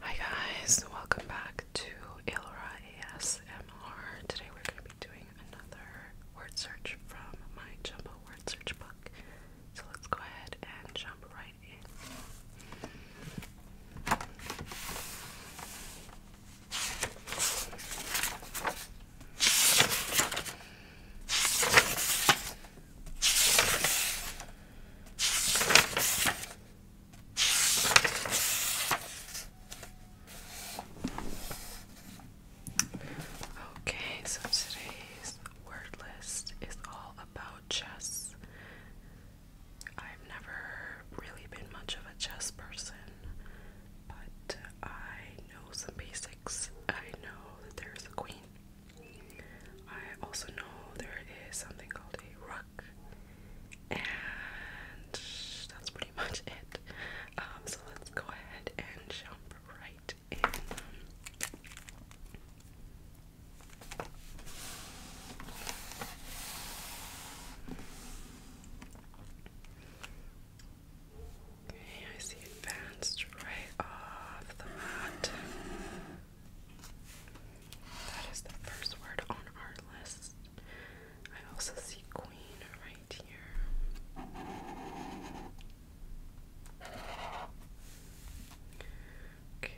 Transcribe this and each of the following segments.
Hi guys, welcome back to Ilra ASMR. Today we're going to be doing another word search from my jumbo word search book. So let's go ahead and jump right in. Okay, so today's word list is all about chess. I've never really been much of a chess person, but I know some basics. I know that there's a queen, I also know there is something called a ruck, and that's pretty much it. Um, so let's go ahead and jump right in. Okay, I see advanced right off the bat. That is the first word on our list. I also see queen right here. Okay,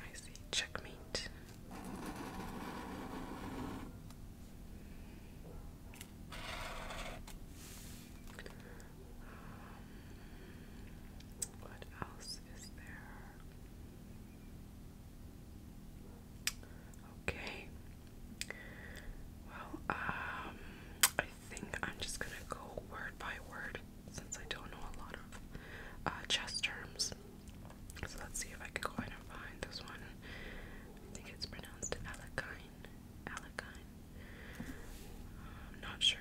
I see checkmate. Um, what else else is there? Okay. Well, um, I think I'm just gonna go word by word since I don't know a lot of uh, chess terms. So let's see if I can go ahead and find this one. I think it's pronounced Alakine. Alakine. I'm not sure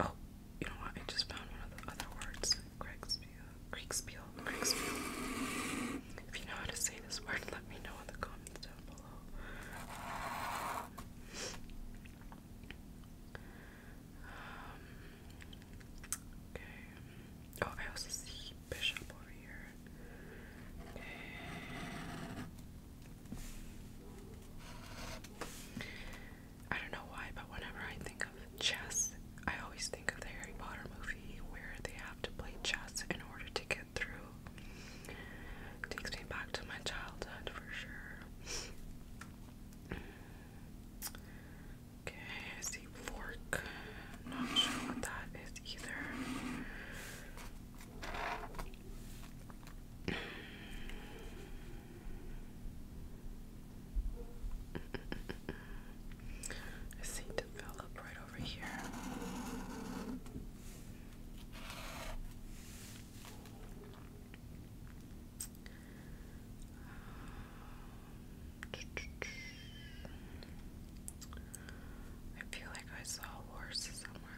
Oh, you know what? I just found one of the other words. Craigspiel. Craigspiel. If you know how to say this word, let me know in the comments down below. Um, okay. Oh, I also see Bishop over here. I don't know why, but whenever I think of chess, I always think of the Harry Potter movie where they have to play chess in order to get through. takes me back to my childhood for sure. Okay, I see fork. Not sure what that is either. I see develop right over here. I feel like I saw a horse somewhere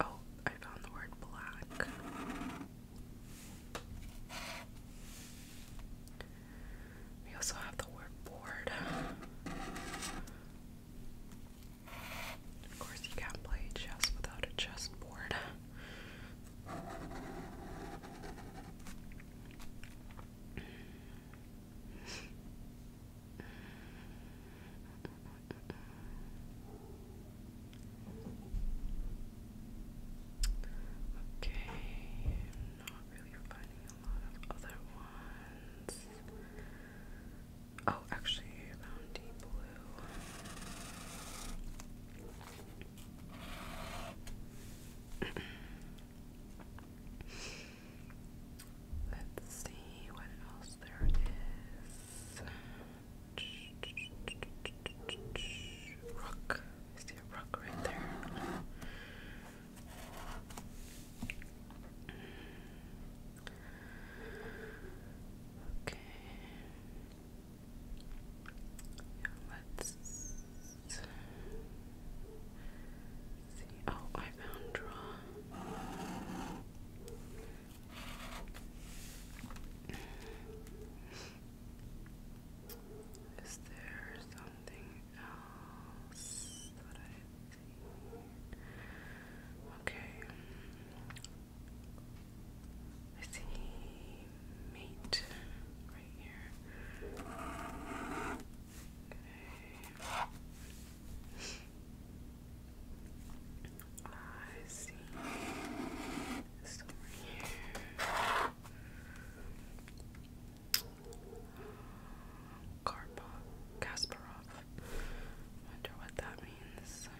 Oh, I found the word black. We also have the word board. Of course, you can't play chess without a chessboard. Okay, i not really finding a lot of other ones. Oh, actually, I deep blue. Let's see what else there is. Rook. see a rook right there. Okay. let's see. Oh, I found draw. Is there something else that I see? Okay. I see meat right here. Okay. I see this here. Karpov, Kasparov. Wonder what that means. Um,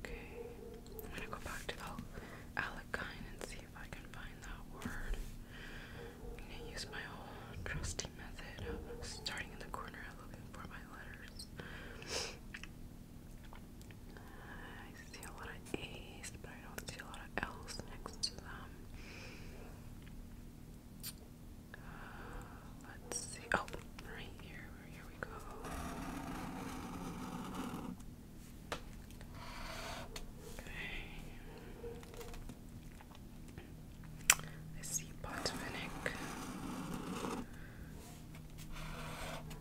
okay, I'm gonna go back to the Alec and see if I can find that word. I'm gonna use my old trusty method of starting in the corner looking for my letters. I see a lot of A's, but I don't see a lot of L's next to them. Uh, let's see. Oh, right here. Here we go. Okay. I see Botvinic. Um, let's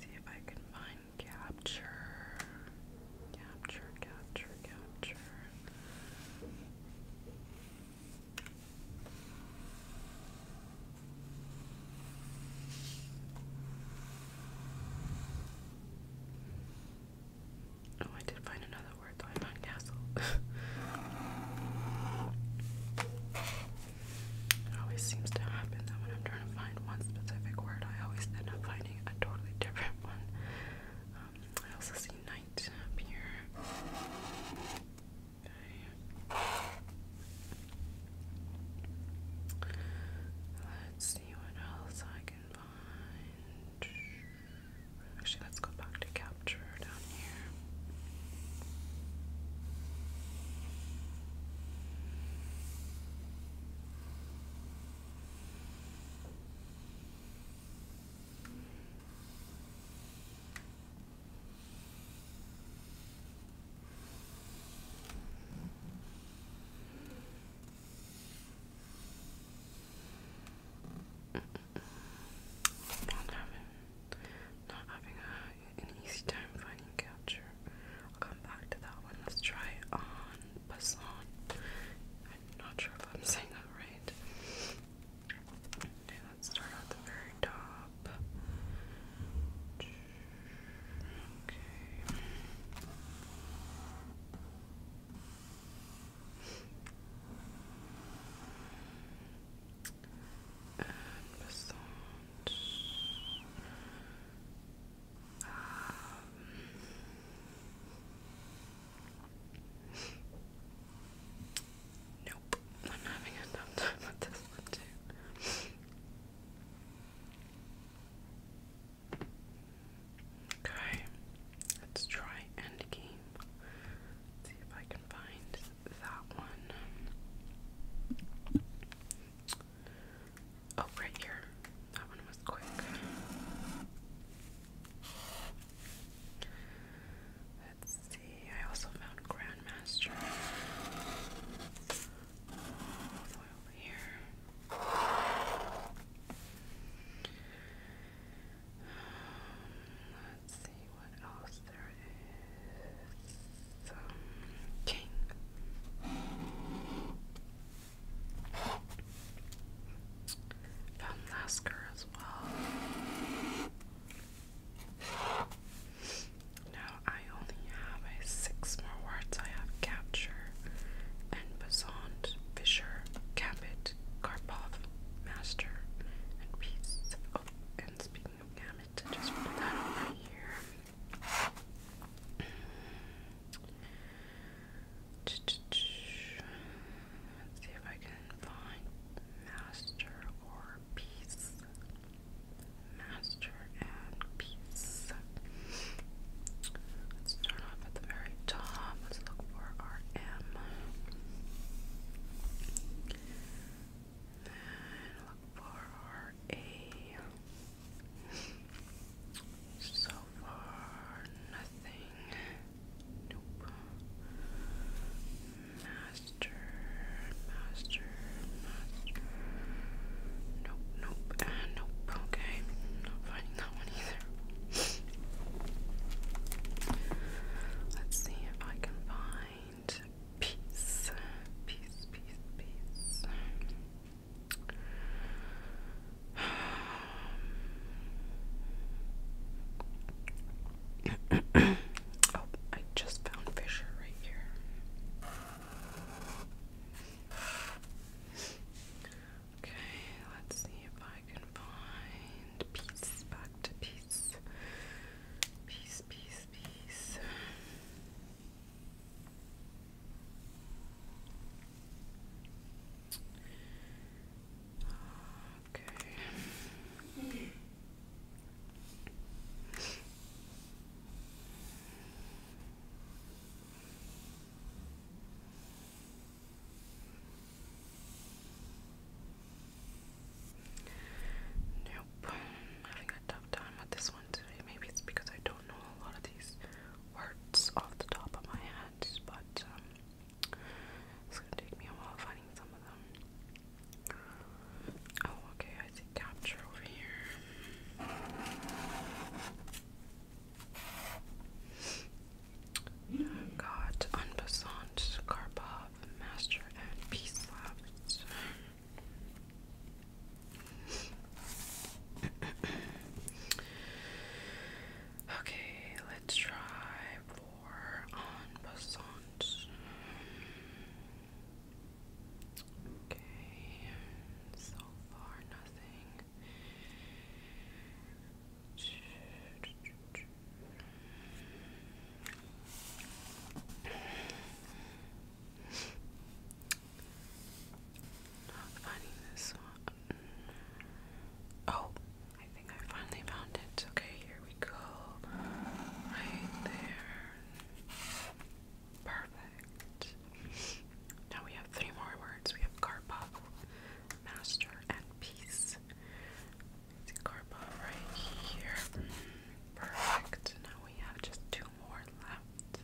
see if I can find capture. Capture, capture, capture. Oh, I did find another word though. castle. it always seems to happen that when I'm trying to find one specific word, I always end up finding a totally different one. Um, I also see night up here. Okay. Let's see what else I can find. Actually, let's go back to capture down here. Not having, not having an easy time finding capture. I'll come back to that one. Let's try on Passon. not sure if I'm saying that right. Okay, let's start at the very top. Okay. And massage. Nope, I'm having a tough time with this one too. Okay, let's try Endgame. let see if I can find that one. Oh, right here. That one was quick. Let's see. I also found Grandmaster. All the way over here. Let's see what else there is. Um, king. Found as well. Now I only have six more words I have captured and Besant, Fisher, Cabot, Karpov, Master, and Peace. Oh, and speaking of Gamut, just put that over here. Let's see if I can find Master or Peace. Master and Let's start off at the very top. Let's look for our M. Then look for our A. So far, nothing. Nope. Master, master, Nope, nope, nope. Okay, not finding the Let's see if I can find peace. Peace, peace, peace. Um, oh, I just found Fisher right here. Okay, let's see if I can find peace, back to peace. Peace, peace, peace. Okay. Nope, i having a tough time with this one today. Maybe it's because I don't know a lot of these words off the top of my head, but um, it's gonna take me a while finding some of them. Oh, okay, I see capture over here. Got Unpassant, Karpov, Master, and Peace left. okay, let's try for Unpassant. Okay, so far nothing. Oh, I think I finally found it. Okay, here we go. Right there. Perfect. Now we have three more words. We have Karpov, Master, and Peace. It's Karpov right here. Perfect. Now we have just two more left.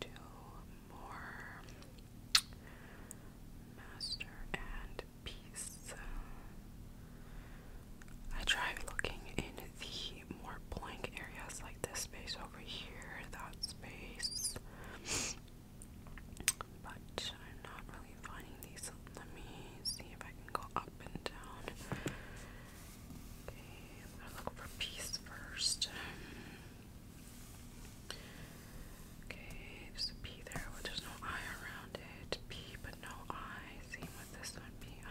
Two more. Master and Peace. I tried looking in the more blank areas like this space over here, that space, but I'm not really finding these. Let me see if I can go up and down. Okay, I'm look for peace first. Okay, there's a P there, there's no I around it. P, but no I. Same with this one, P I.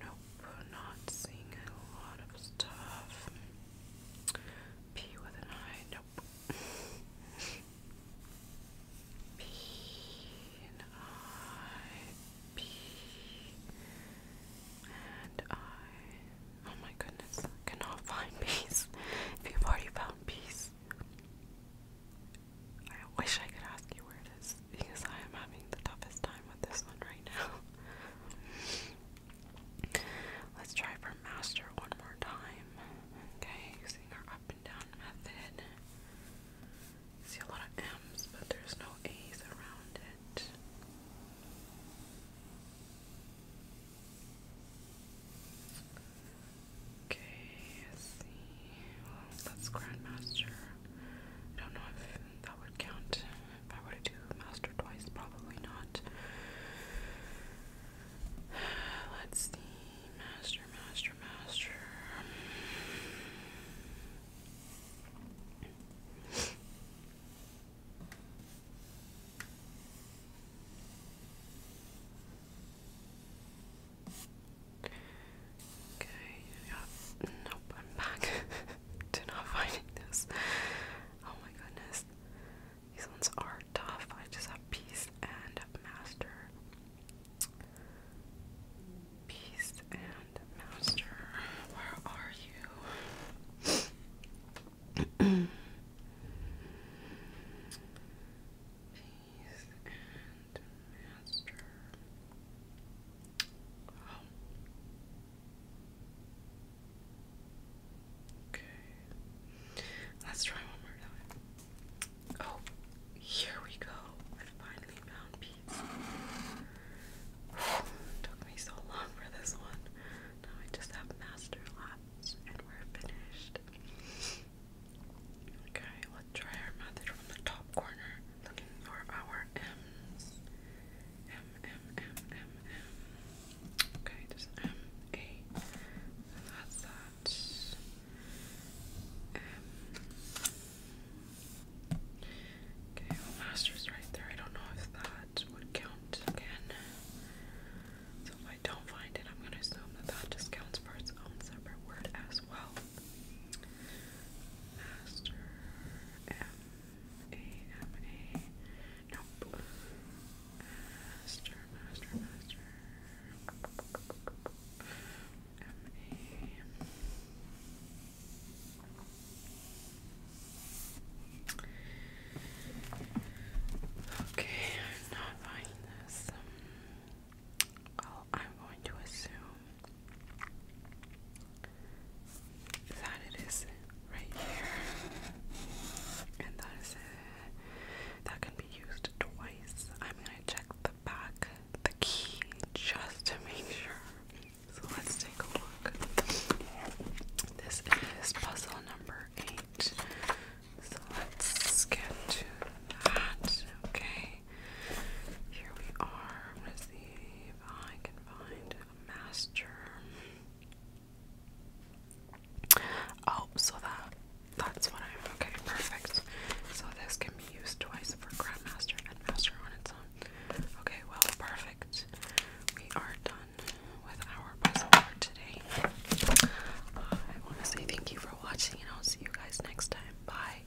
Nope, not seeing a lot of stuff. P with an I, nope. P and I, P and I. Oh my goodness, cannot find peace. If you've already found peace, I wish I could ask you where it is because I am having the toughest time with this one right now. Let's try for master one more time. Okay, using our up and down method. see a lot of M's, but there's no A's around it. Okay, see. Well, that's Grandmaster I don't know if that would count if I were to do master twice, probably not. Let's see, master, master, master. Okay, yeah, nope, I'm back to not find this. Oh my goodness. These ones are tough. I just have peace and master. Peace and master. Where are you? peace and Okay. Let's try one more time. Oh, here we go. I finally found pizza. Took me so long for this one. Now I just have master laps and we're finished. Okay, let's try our method from the top corner looking for our M, M, M, M, M. Okay, there's M, A, that's that. Okay, master's right there. I don't know if that would count again. So if I don't find it, I'm going to assume that that just counts for its own separate word as well. Master. M A M A. Nope. Master, master, master. M A. Okay, I'm not buying this. well, I'm going to assume that it is right here, and that is it. That can be used twice. I'm gonna check the back, the key, just to make sure. So let's take a look. This is puzzle number eight. So let's get to that. Okay. Here we are. I'm I can find a master. Oh, so that that's what I'm okay, perfect. So this can be used twice for Grandmaster and Master on its own. Okay, well perfect. We are done with our puzzle for today. Uh, I wanna say thank you for watching and I'll see you guys next time. Bye.